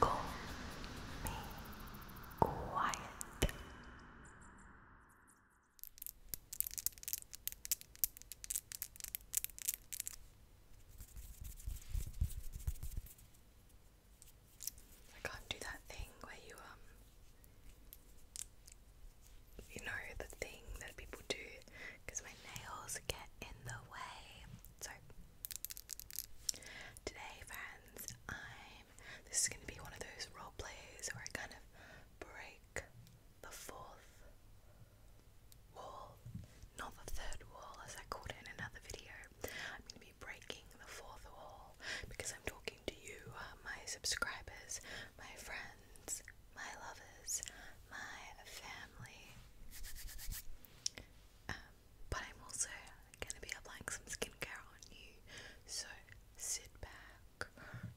Call me quiet. I can't do that thing where you um you know the thing that people do because my nails get in the way. So, today, friends, I'm. This is going to be one of those role plays where I kind of break the fourth wall, not the third wall as I called it in another video. I'm going to be breaking the fourth wall because I'm talking to you, uh, my subscribers, my friends, my lovers, my family. Um, but I'm also going to be applying some skincare on you, so sit back,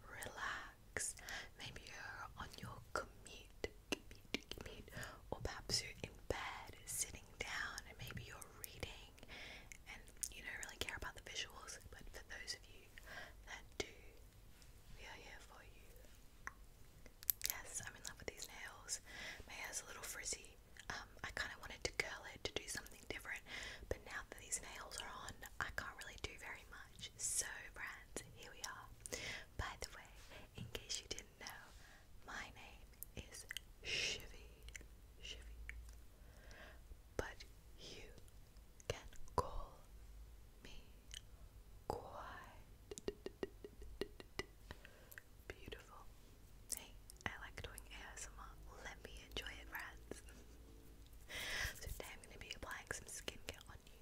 relax. Maybe you're on your commute, commute, commute, or perhaps you're in bed, sitting down, and maybe you're reading, and you don't really care about the visuals. But for those of you that do, we are here for you. Yes, I'm in love with these nails. My hair's a little frizzy. Um, I kind of wanted to curl it to do something different, but now that these nails are on, I can't really do very much. So, brands, here we are. By the way, in case you didn't know, my name is Shivy. Shivy. But you can call me quiet. Beautiful. Hey, I like doing ASMR. Let me enjoy it, friends. so today I'm going to be applying some skincare on you.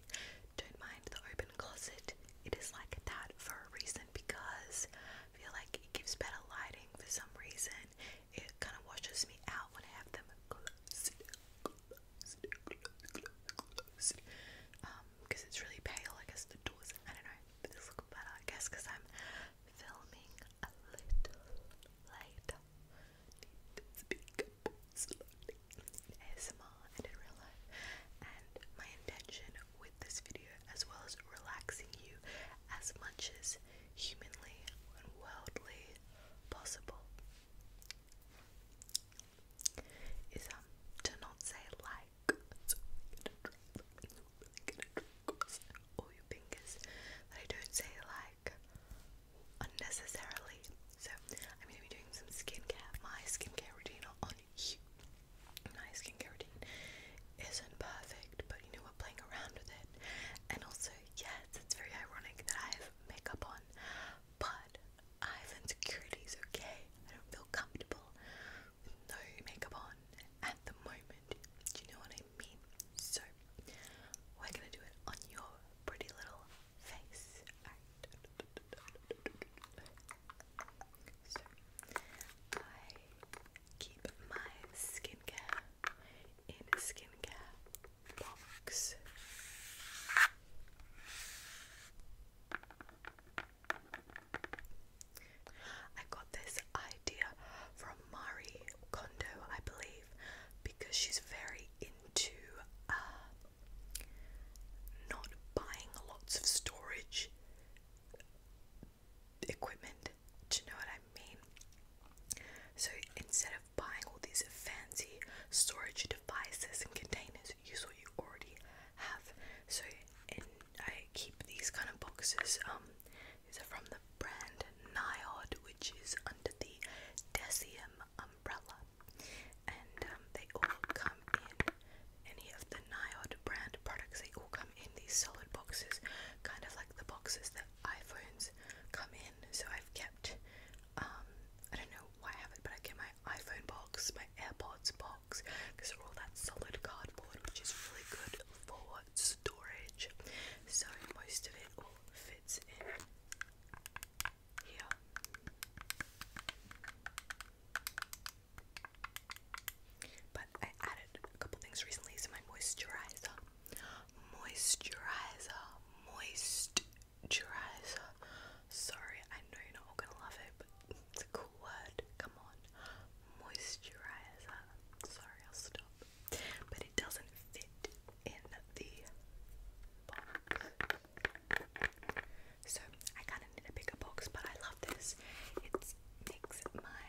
Don't mind the open closet. It is like that for a reason because I feel like it gives better lighting for some reason. It kind of washes me out when I have them closed. Um, because it's really pale. I guess the doors, I don't know, but this looks better, I guess, because I'm filming a little later. Speak up slowly. ASMR and in real life. And my intention with this video, as well as relaxing you as much as humanly and worldly possible is um to not say like so all your fingers I don't say like unnecessarily. So I'm gonna be doing some skincare. My skincare routine on you. My skincare routine isn't perfect, but you know we're playing around with it. And also, yes, it's very ironic that I have makeup on, but I have insecurities, okay? I don't feel comfortable with no makeup on at the moment. Do you know what I mean? So, we're gonna do it on your pretty little face. So, I keep my skincare in a skincare box. I got this idea from Marie Kondo, I believe, because she's very into uh, not buying lots of storage equipment. Do you know what I mean? So instead of buying all these fancy storage devices and containers, that usually you already have. So I keep these kind of boxes. Um, these are from the brand Niod, which is under the Decium umbrella, and um, they all come in. Any of the Niod brand products, they all come in these solid boxes, kind of like the boxes that iPhones come in. So I've kept, um, I don't know why I have it, but I keep my iPhone box, my AirPods box because they're all that solid cardboard, which is really good for storage. So most of it all fits in here. But I added a couple things recently, so my moisturizer, moisturizer, moisturizer, Sorry, I know you're not all gonna love it, but it's a cool word. Come on, moisturizer. Sorry, I'll stop. But it doesn't fit in the box. So I kind of need a bigger box, but I love this. It makes my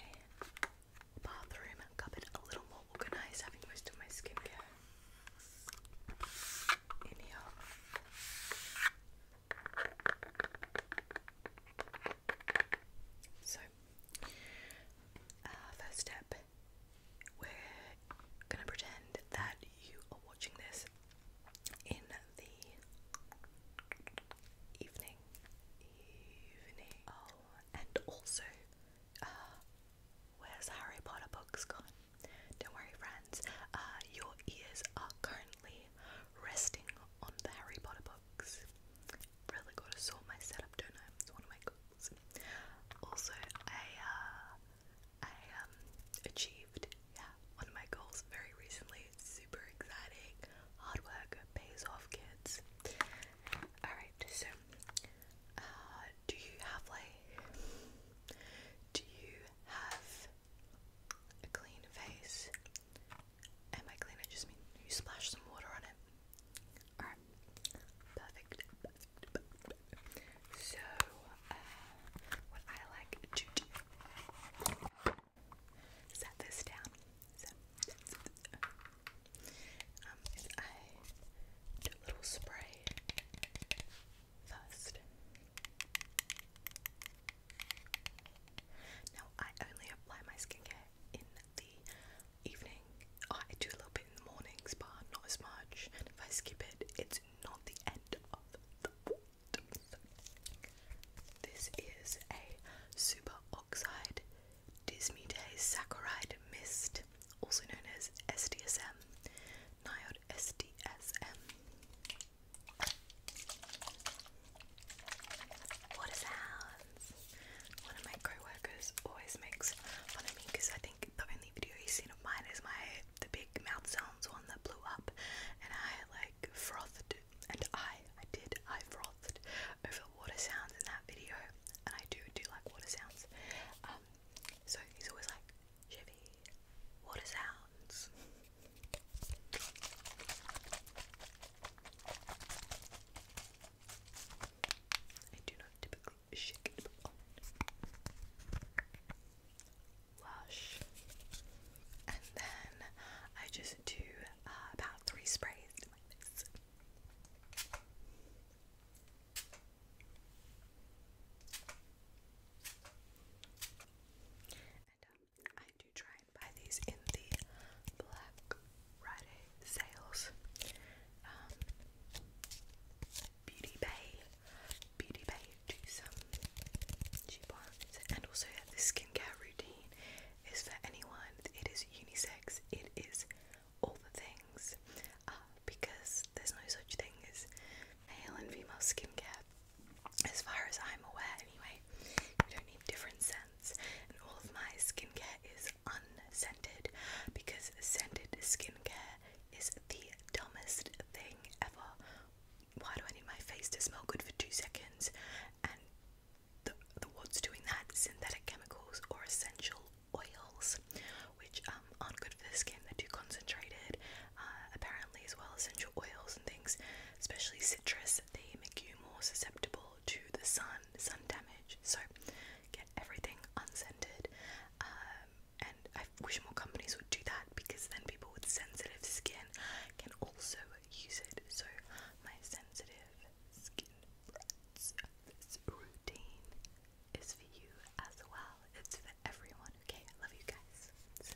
bathroom cupboard a little more organized, having most of my skincare in here. So, first step, we're gonna pretend that you are watching this in the evening. Evening. Oh, and also, uh, where's Harry Potter books gone? Don't worry, friends, uh, your ears are currently resting on the Harry Potter books. Really gotta sort my setup, don't know. It's one of my goals. Also, I, uh, I um, achieved yeah, one of my goals very recently. super exciting. Hard work pays off, kids. Alright, so uh, do you have like do you have a clean face. And by clean, just mean you splash some water on it. Alright, perfect. So, uh, what I like to do set this down. um, I do a little spray first. Now, I only apply my skincare in the evening. Oh, I do a little bit in the mornings, but not as much. if I skip it, it's not the end of the world. this is a superoxide oxide dismutase saccharide mist, also known as SDSM, NIOD SDSM. Water sounds. One of my co-workers always makes fun of me because I think the only video he's seen of mine is my the big mouth sounds one that blew up, and I like frothed and I I did I frothed over water sounds in that video, and I do do like water sounds. Um, so he's always like, Chevy water sounds. I do not typically shake it Lush. And then I just do uh, about three sprays I do try and buy these in the Black Friday sales. Um, Beauty Bay, Beauty Bay do some cheap ones, and also yeah, this skincare routine is for anyone. It is unisex. It is all the things uh, because there's no such thing as male and female skincare as far as I'm aware anyway. You don't need different scents, and all of my skincare is unscented because scented skincare is the dumbest thing ever. Why do I need my face to smell good for two seconds? And the, the what's doing that? Synthetic chemicals or essential oils, which um, aren't good for the skin. They're too concentrated uh, apparently, as well, essential oils and things, especially citrus, they make you more susceptible to the sun, sun damage. So, get everything unscented. Um, and I wish more companies would do that because then people with sensitive skin can also use it. So, my sensitive skin routine is for you as well. It's for everyone. Okay, I love you guys.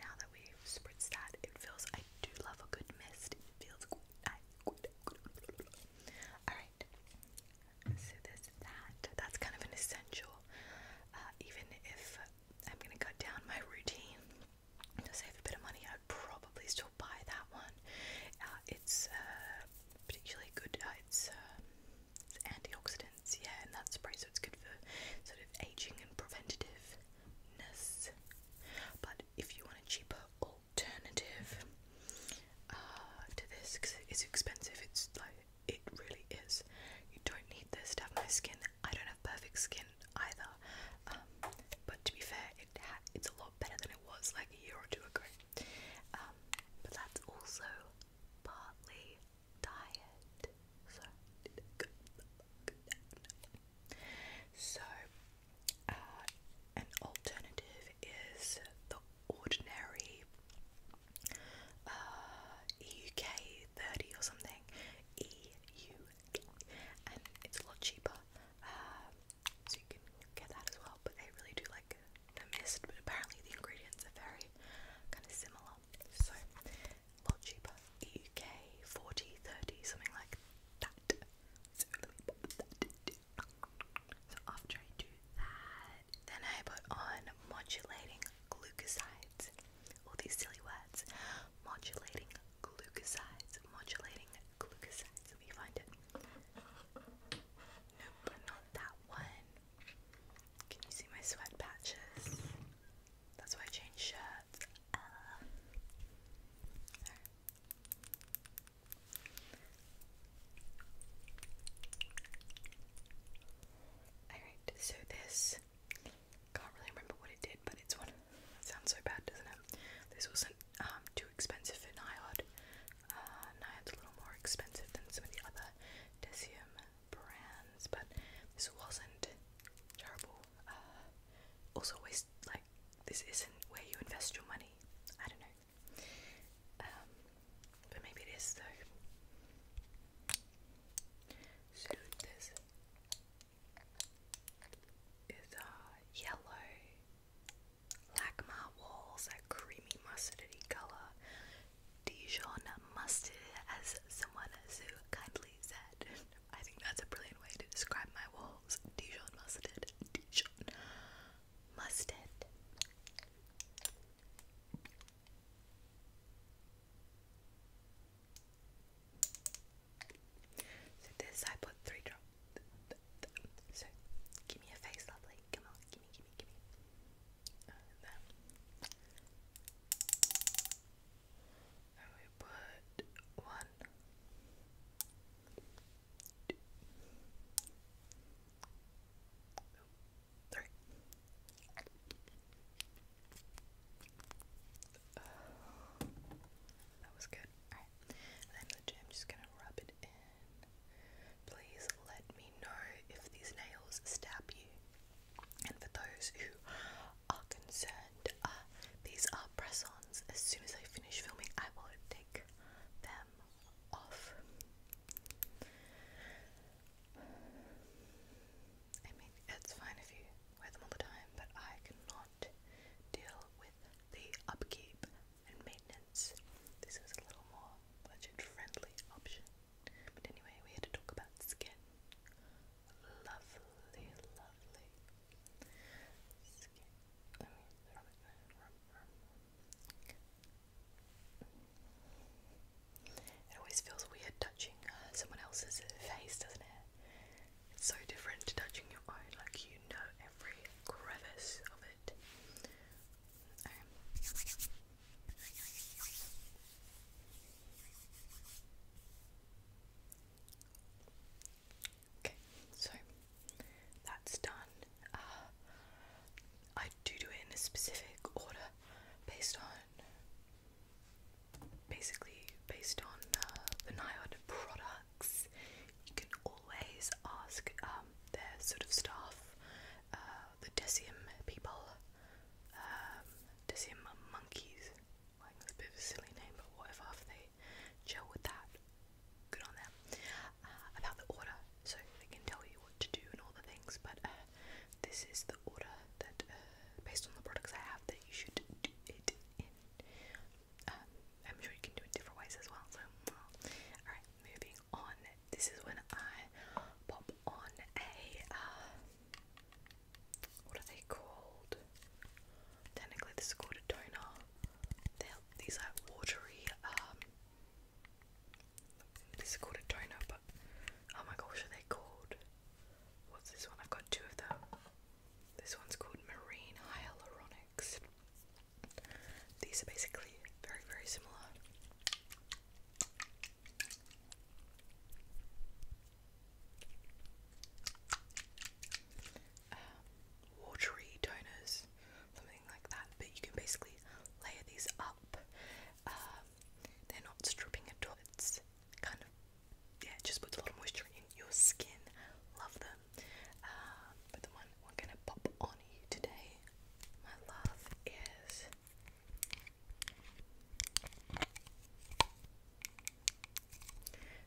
Now that we've spritzed that, it feels, I do love a good mist. It feels good. good, Alright, so there's that. That's kind of an essential, uh, even if I'm going to cut down my routine to save a bit of money, I'd probably still buy that one. Uh, it's uh, particularly good, it's antioxidant yeah, and that spray, so it's good for sort of aging and preventativeness. But if you want a cheaper alternative uh, to this, because it's expensive, it's like it really is. You don't need this to have nice skin. I don't have perfect skin either, um, but to be fair, it's a lot better than it was like a year or two ago. Um, but that's also partly diet. So, so uh, an alternative is the ordinary uh, EUK 30 or something. EU, and it's a lot cheaper. Uh, so you can get that as well, but they really do like the mist. But apparently the ingredients are very kind of similar are. So, a lot cheaper. UK 40, 30, something like that. So, let me pop that in. So, after I do that, then I put on modulating glucosides. All these silly words. Modulating glucosides. Modulating glucosides. Let me find it. Nope, not that one. Can you see my sweat patches? That's why I changed shirts. Uh, alright, so this can't really remember what it did, but it's one sounds so bad, doesn't it? This wasn't um too expensive for Nihod. Uh a little more expensive than some of the other Decium brands, but this wasn't terrible. Uh, also, waste like this isn't where you invest your money. I don't know, um, but maybe it is though. this is a uh, yellow. Lacma walls, that creamy mustardy colour. Dijon mustard, as someone who kindly said. I think that's a brilliant way to describe my walls. Dijon mustard. Dijon mustard. So this I put three drops. So give me a face, lovely. Come on, gimme, gimme, gimme. Uh, and we put one, two, three. that was good. then I'm just gonna rub it in. Please let me know if these nails stab you. And for those who are concerned, uh, these are press ons. As soon as I finish filming, I will take them off. I mean, it's fine if you wear them all the time, but I cannot deal with the upkeep and maintenance. This is a little more budget friendly option. But anyway, we're to talk about skin. Lovely, lovely skin. it always feels weird touching uh, someone else's face, doesn't it? It's so different to touching your own, like you know every crevice of it. Okay, so that's done. Uh, I do do it in a specific order based on basically based on uh, the NIOD products. You can always ask um, their sort of staff uh, the Decium people, um, monkeys. Like that's a bit of a silly name, but whatever. If they gel with that, good on them. Uh, about the order, so they can tell you what to do and all the things. But uh, this is the order that, uh, based on the products I have, that you should do it in. Um, I'm sure you can do it different ways as well. So, alright, moving on. This is when I pop on a uh, what are they called? Technically, this is called a toner. these like watery. Um, this is called a toner, but oh my gosh, are they called? What's this one? I've got two of them. This one's called Marine Hyaluronics. These are basically very, very similar um, watery toners, something like that. But you can basically layer these up. Um, they're not stripping at all. It's kind of yeah, just puts a lot of moisture in your skin. Love them. Um, but the one we're going pop on today, my love, is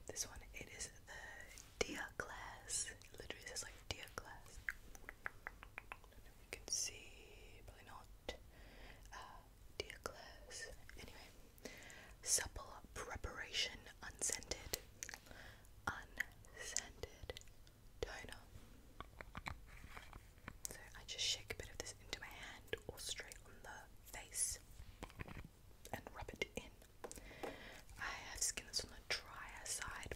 this one, it is the Dia glass. literally says like Dia glass. I can see, probably not. Uh, Dia glass. Anyway, supple preparation, unscented, unscented toner. So I just shake a bit of this into my hand or straight on the face and rub it in. I have skin that's on the drier side,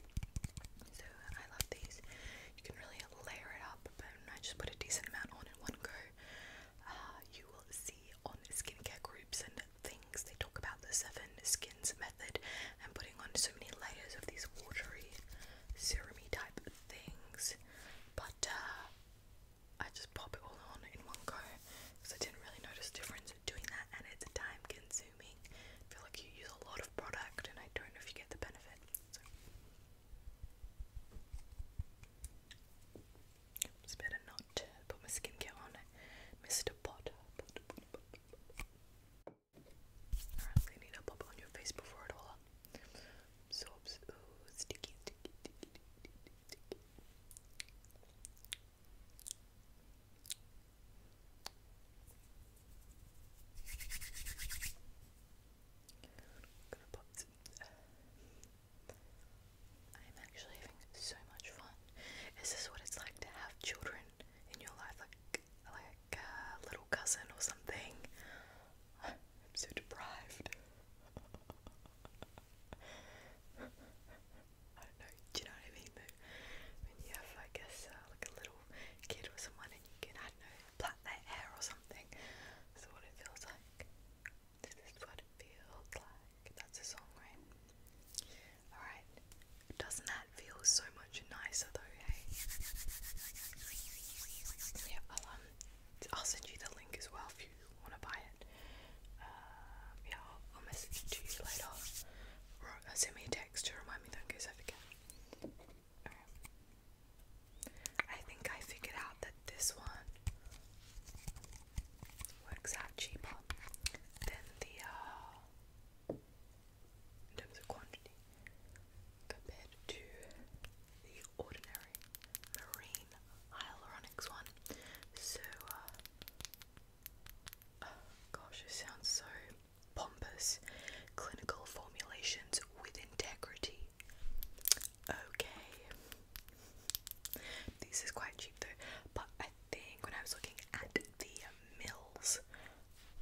so I love these. You can really layer it up, but I just put a decent amount on in one go. Uh, you will see on skincare groups and things they talk about the seven skins method and putting on so many layers of these watery, serumy type things. But uh, I just pop it all on in one go because I didn't really notice difference doing that and it's time consuming. I feel like you use a lot of product and I don't know if you get the benefit. So. It's better not put my skincare on Mr. Potter. Alright, I'm need to pop it on your face before it all so, sticky, sticky, sticky, sticky, I'm I'm actually having so much fun. Is this what it's like to have children in your life, like like a little cousin or something? I'm so deprived. I don't know. Do you know what I mean? when you have, I guess, uh, like a little kid or someone, and you can, I don't know, plait their hair or something. This what it feels like. This what it feels like. That's a song, right? All right. Doesn't that feel so much nicer, though? Yeah, um, I'll send you the link as well if you want to buy it. Um, yeah, I'll, message you later. Uh, send me a text to remind me, though, in case I forget. Okay. I think I figured out that this one works out cheaper than the, uh, in terms of quantity, compared to the Ordinary Marine Hyaluronics one. So, uh, oh gosh, it sounds so pompous. Clinical formulations with integrity. Okay. This is quite cheap though, but I think when I was looking at the mills,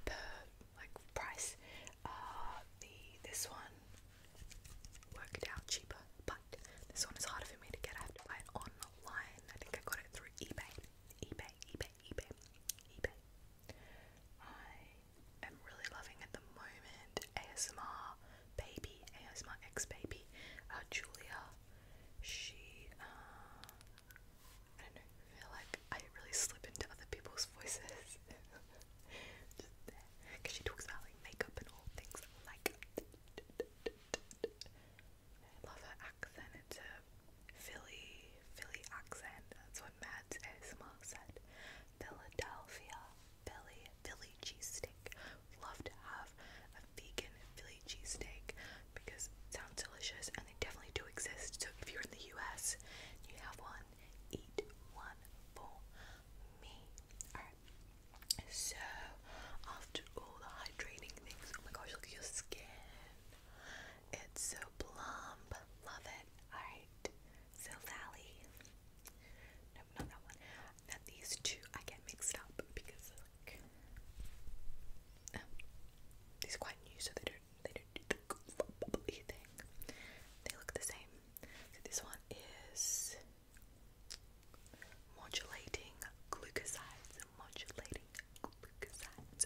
the like price, uh, the this one worked out cheaper, but this one is harder for me to get. I have to buy it online. I think I got it through eBay. eBay, eBay, eBay, eBay. I am really loving at the moment ASMR baby, ASMR ex baby, uh, Julia. She, uh, I don't know, feel like I really slip into other people's voices. Because she talks about like makeup and all things like. love her accent. It's a Philly, Philly accent. That's what Mads ASMR said. Philadelphia, Philly, Philly steak. Love to have a vegan Philly cheese steak because it sounds delicious and they definitely do exist. So if you're in the US you have one, eat one for me. Alright. So after all the hydrating things, oh my gosh, look at your skin. It's so plump. Love it. Alright. So Valley. Nope, not that one. these two I get mixed up because um, these quite new so they don't they don't do the thing. They look the same. So this one is modulating glucosides, modulating glucosides,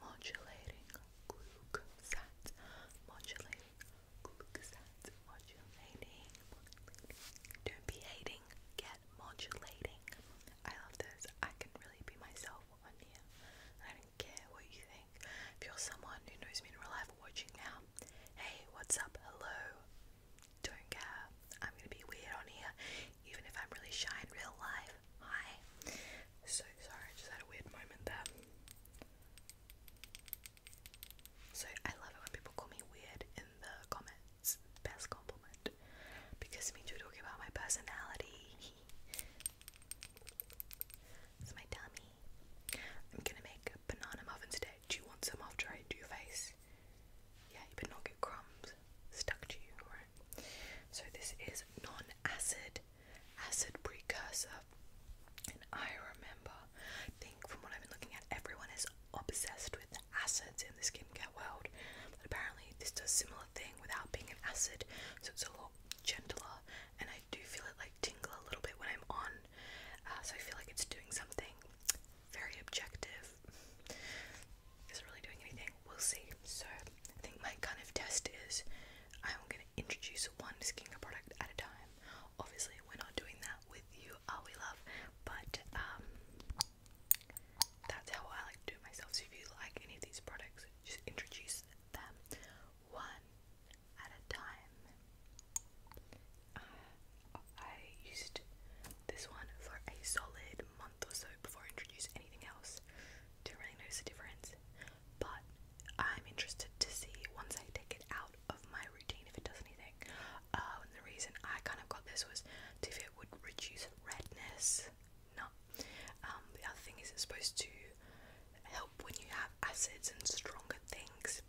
modulating glucosides, modulating glucosides, modulating. Don't be hating, get modulating. I love this. I can really be myself on here. I don't care what you if you're someone who knows me in real life watching now, hey, what's up? Hello. Don't care. I'm gonna be weird on here, even if I'm really shy in real life. Hi. So sorry, just had a weird moment there. So I love it when people call me weird in the comments. Best compliment. Because it means talking about my personality. it's my tummy. I'm gonna make banana muffin today. Do you want some after I do your face? Yeah, you better not get crumbs stuck to you, alright? So this is non-acid acid precursor. And I remember, I think from what I've been looking at, everyone is obsessed with acids in the skincare world. But apparently this does a similar thing without being an acid, so it's a lot gentler and I do feel it like tingle a little bit when I'm on, uh, so I feel like it's doing something very objective. Is it really doing anything? We'll see. So I think my kind of test is I'm going to introduce one skincare product at a time. Obviously, we're not doing that with you, are we, love? But um, that's how I like to do it myself. So if you like any of these products, just introduce them one at a time. Uh, I used this one for a solid month or so before I anything else. Didn't really notice the difference, but I'm interested to see once I take it out of my routine if it does anything. Uh, and the reason I kind of got this was to if it would reduce redness. No. Um, the other thing is it's supposed to help when you have acids and stronger things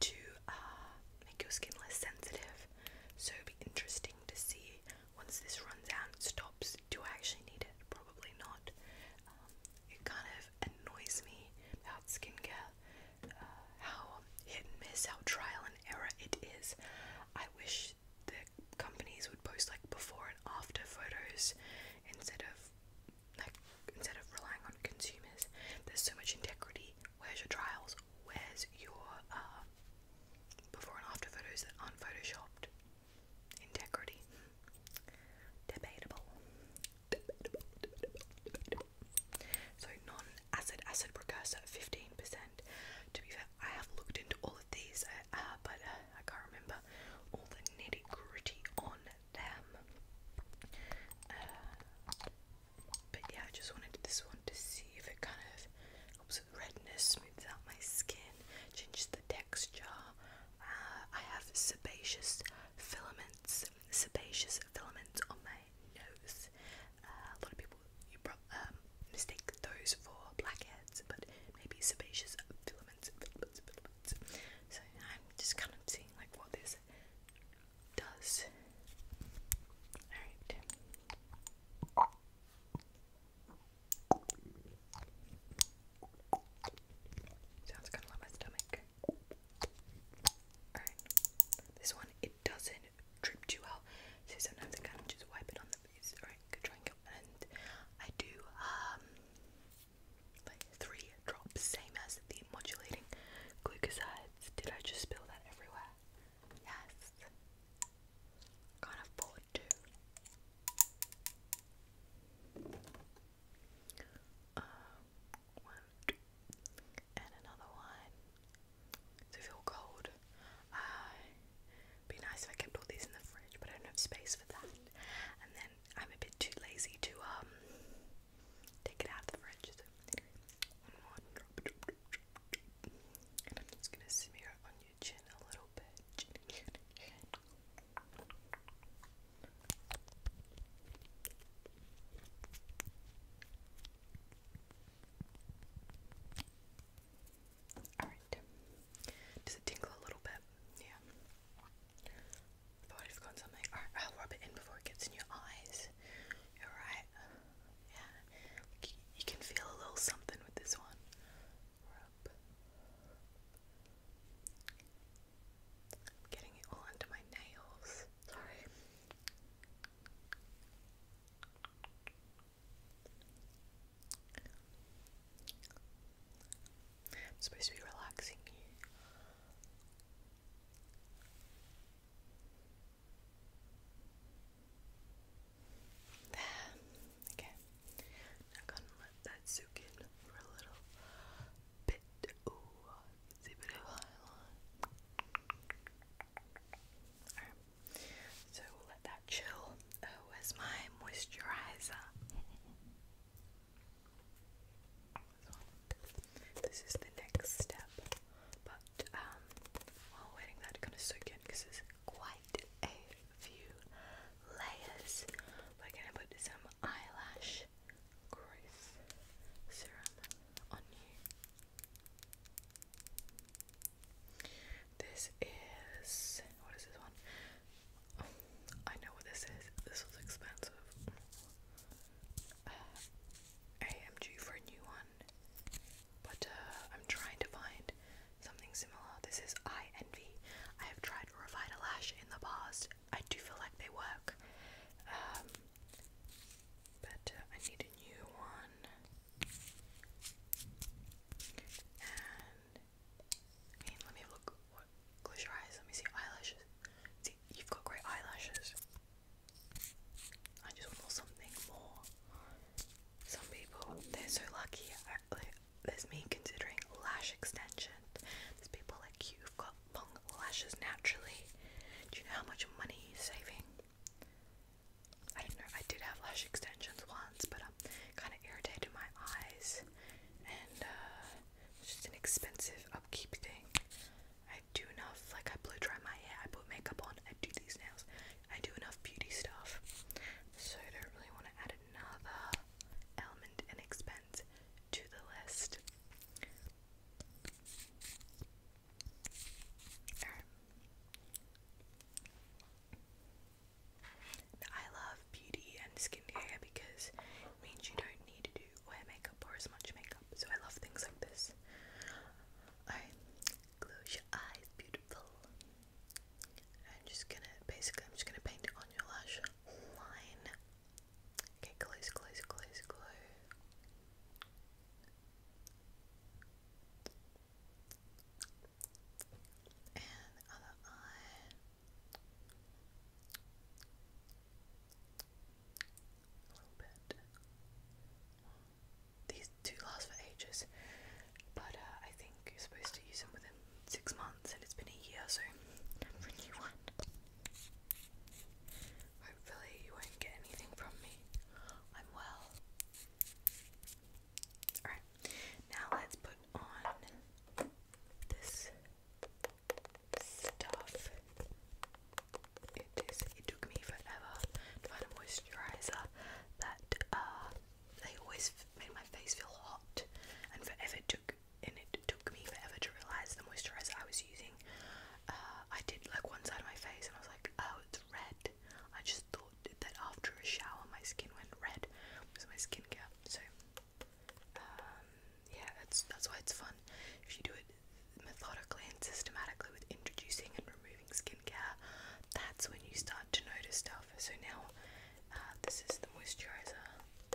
to uh, make your skin less sensitive. So it'd be interesting to see once this runs out and stops, do I actually need it? Probably not. Um, it kind of annoys me about skincare, uh, how hit and miss, how trial and error it is. I wish the companies would post like before and after photos instead of like instead of relying on consumers, there's so much integrity. Where's your trials? Where's your uh, before and after photos that aren't photoshopped? Integrity. Debatable. So non-acid acid precursor, fifteen percent. To be fair, I have looked into all of these, uh, but uh, I can't remember all the nitty gritty on uh, but yeah, I just wanted this one to see if it kind of helps with redness, smooths out my skin, changes the texture. Uh, I have sebaceous filaments, sebaceous filaments on my nose. Uh, a lot of people you pro um, mistake those for blackheads, but maybe sebaceous filaments, filaments, filaments. So I'm just kind of seeing like what this does. Sounds kind of like my stomach. This one, it doesn't drip too well. So sometimes I kind of just wipe it on the face. Alright, go try and go. And I do, um, like three drops, same as the modulating glucoside. Did I just spill that everywhere? Yes. Can't afford to. Um, one and another one. So feel cold. Uh, be nice if I kept all these in the fridge, but I don't have space for that. And then I'm a bit too lazy to um take it out of the fridge. So gonna smear on your chin a little bit. Alright. Does it tingle a little bit? Yeah. I'd forgotten something. I'll rub it in before it gets in your eyes. you Yeah. you, can feel a little something with this one. I'm getting it all under my nails. Sorry. I'm supposed to be relaxing you. There. Okay. Now gonna let that soak in for a little bit. Ooh, a bit of Alright. So we'll let that chill. Oh, where's my moisturizer? This is the next step, but um, while waiting, that's gonna soak in because there's quite a few layers. We're gonna put some eyelash growth serum on you. This is what is this one? Oh, I know what this is. This was expensive. Uh, I am for a new one, but uh, I'm trying to find something similar. This is I Envy. I have tried Revita Lash in the past. I do feel like they work, um, but uh, I need a new one. And let me look. Close your eyes. Let me see eyelashes. See, you've got great eyelashes. I just want something more. Some people, they're so lucky. there's me considering lash extension. There's people like you who've got long lashes naturally. Do you know how much money you're saving? I don't know. I did have lash extensions once, but um, kind of irritated my eyes, and uh, it's just an expensive upkeep thing. I do enough, like I blow dry my hair, I put makeup on, I do these nails, I do enough beauty stuff. So I don't really want to add another element and expense to the list. I love beauty and skincare because means you don't need to wear makeup or as much makeup, so I love things like this. Alright, close your eyes, beautiful. I'm just gonna basically, I'm just gonna paint it on your lash line. Okay, close, close, close, close. And other eye. A little bit. These two last for ages, but uh, I think you're supposed to use them within six months, and it's been a year, so I'm for a new one. Hopefully, you won't get anything from me. I'm well. Alright, now let's put on this stuff. It is. It took me forever to find a moisturizer that uh, they always made my face feel hot, and forever took. And it took me forever to realize the moisturizer I was using. Uh, I did like one side of my face, and I was like, oh, it's red. I just thought that after a shower, my skin went red. It was my care? So, um, yeah, that's that's why it's fun. If you do it methodically and systematically with introducing and removing skincare, that's when you start to notice stuff. So now, uh, this is the moisturizer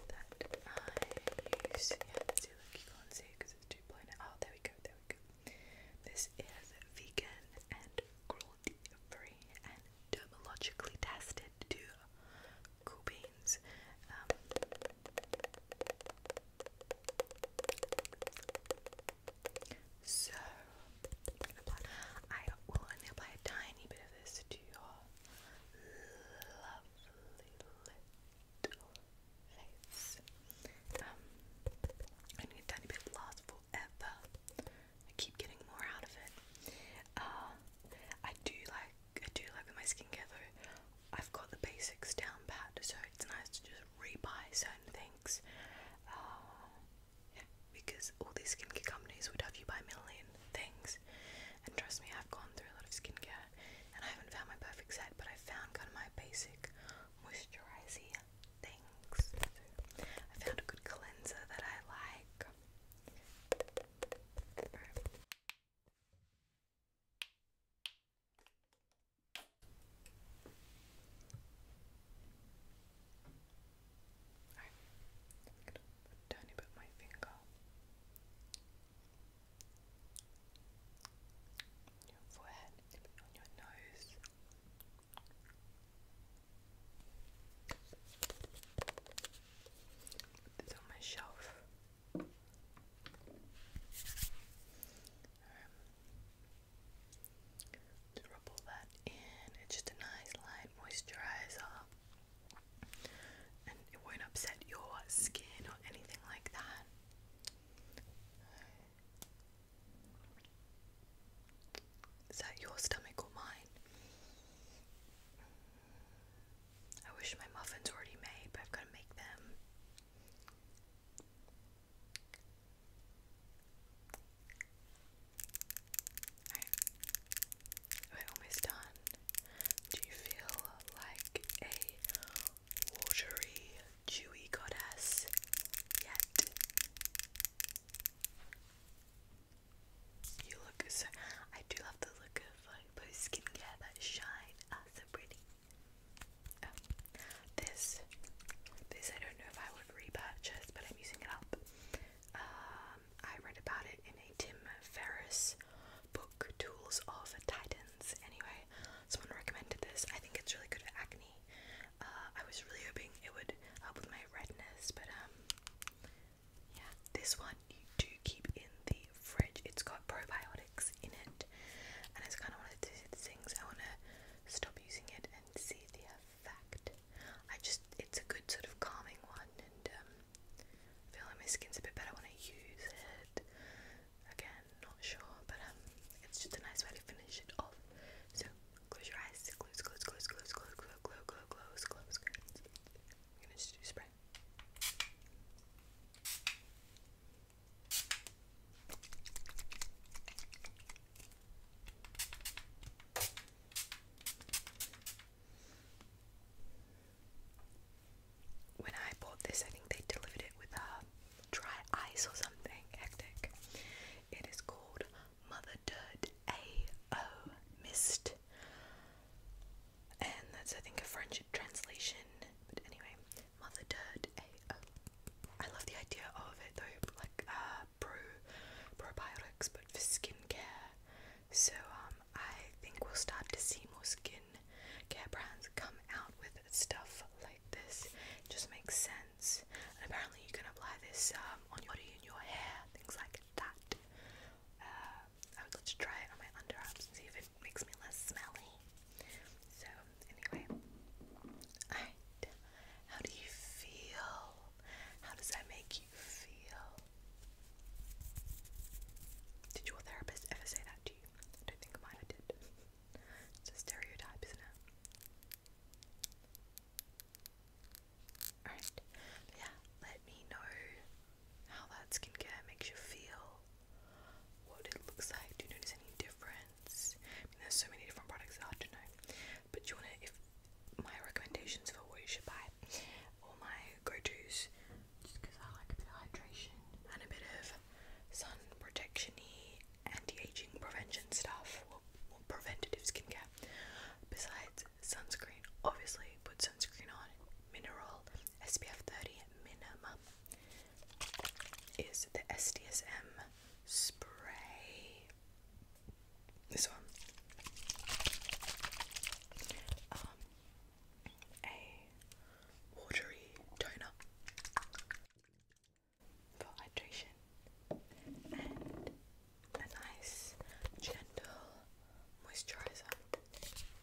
that I use. Yeah, that's it. Look, you can't see it because it's too blown out. Oh, there we go. There we go. This is vegan and cruelty-free and dermatologically tested to cool beans. Um, so i will only apply a tiny bit of this to your lovely little face. Um, only a tiny bit lasts forever. I keep getting more out of it. Uh, I do like I do like with my skincare though, I've got the basics down pat, so it's nice to just re-buy certain things. Uh, yeah, because all these skincare companies would have you buy a million things, and trust me, I've gone through a lot of skincare, and I haven't found my perfect set, but I found kind of my basic moisturizing things. So I found a good cleanser that I like. Alright, I'm gonna put my finger. On your forehead, on your nose. on my shelf. To rub all that in, it's just a nice light moisturizer and it won't upset your skin or anything like that. Is that your stomach or mine? I wish my muffins already made, but I've got to make them. Alright. almost done. Do you feel like a watery, dewy goddess yet? You look so. I do love the look of like post skincare that shine. Ah, so pretty. Um, this, this I don't know if I would repurchase, but I'm using it up. Um, I read about it in a Tim Ferriss book, Tools of Titans. Anyway, someone recommended this. I think it's really good for acne. Uh, I was really hoping it would help with my redness, but um, yeah, this one you do keep in the fridge. It's got probiotics in it, and it's kind of one of those things I want to stop using it and see the effect. I just, it's a good sort of calming one, and um, feel like my skin's a bit better when I use it. Again, not sure, but um, it's just a nice way to finish it off. So close your eyes, close, close, close, close, close, close, close, close, close, close. close. i gonna just do spray. When I bought this, I think they delivered it with a uh, dry ice or something. Hectic. It is called Mother Dirt A.O. Mist. And that's, I think, a French translation. But anyway, Mother Dirt I love the idea of it though, like uh, pro probiotics, but for skincare. So um, I think we'll start to see more skin care brands come out with stuff like this. just makes sense. And apparently you can apply this um, on your body and your hair, things like that. Uh, I would love to try it on my underarms and see if it makes me less smelly. So, anyway. Alright. How do you feel? How does that make you feel? Did your therapist ever say that to you? I don't think mine did. It's a stereotype, isn't it? Alright, yeah, let me know how that skincare makes you feel what it looks like. Do you notice any difference? there's so many different products that I do know. But you wanna if my recommendations for what you should buy All my go-tos just because I like a bit of hydration and a bit of sun protection y anti-aging prevention stuff preventative skincare. Besides sunscreen, obviously put sunscreen on, mineral, SPF 30 minimum is the SDSM spray. This one. Um, a watery toner for hydration and a nice gentle moisturizer.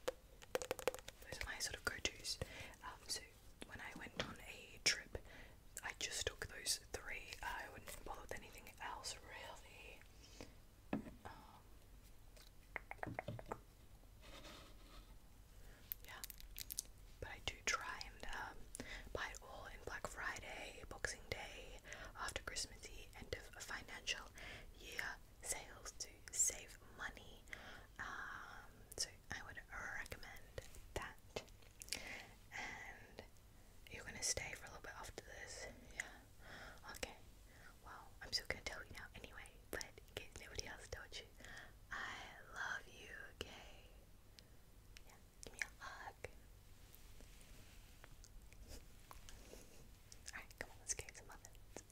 Those are my sort of go-tos. Um, when I went on a trip, I just took those three. I wouldn't bother with anything else really. Um, yeah, but I do try and um, buy it all in Black Friday, Boxing Day, after Christmas end of financial year sales to save money. Um, I would recommend that. And you're gonna stay for a little bit after this, yeah? Okay. Well, I'm still gonna tell you now anyway, but in case nobody else told you, I love you, okay? Yeah, give me a hug. Alright, come on, let's get some muffins.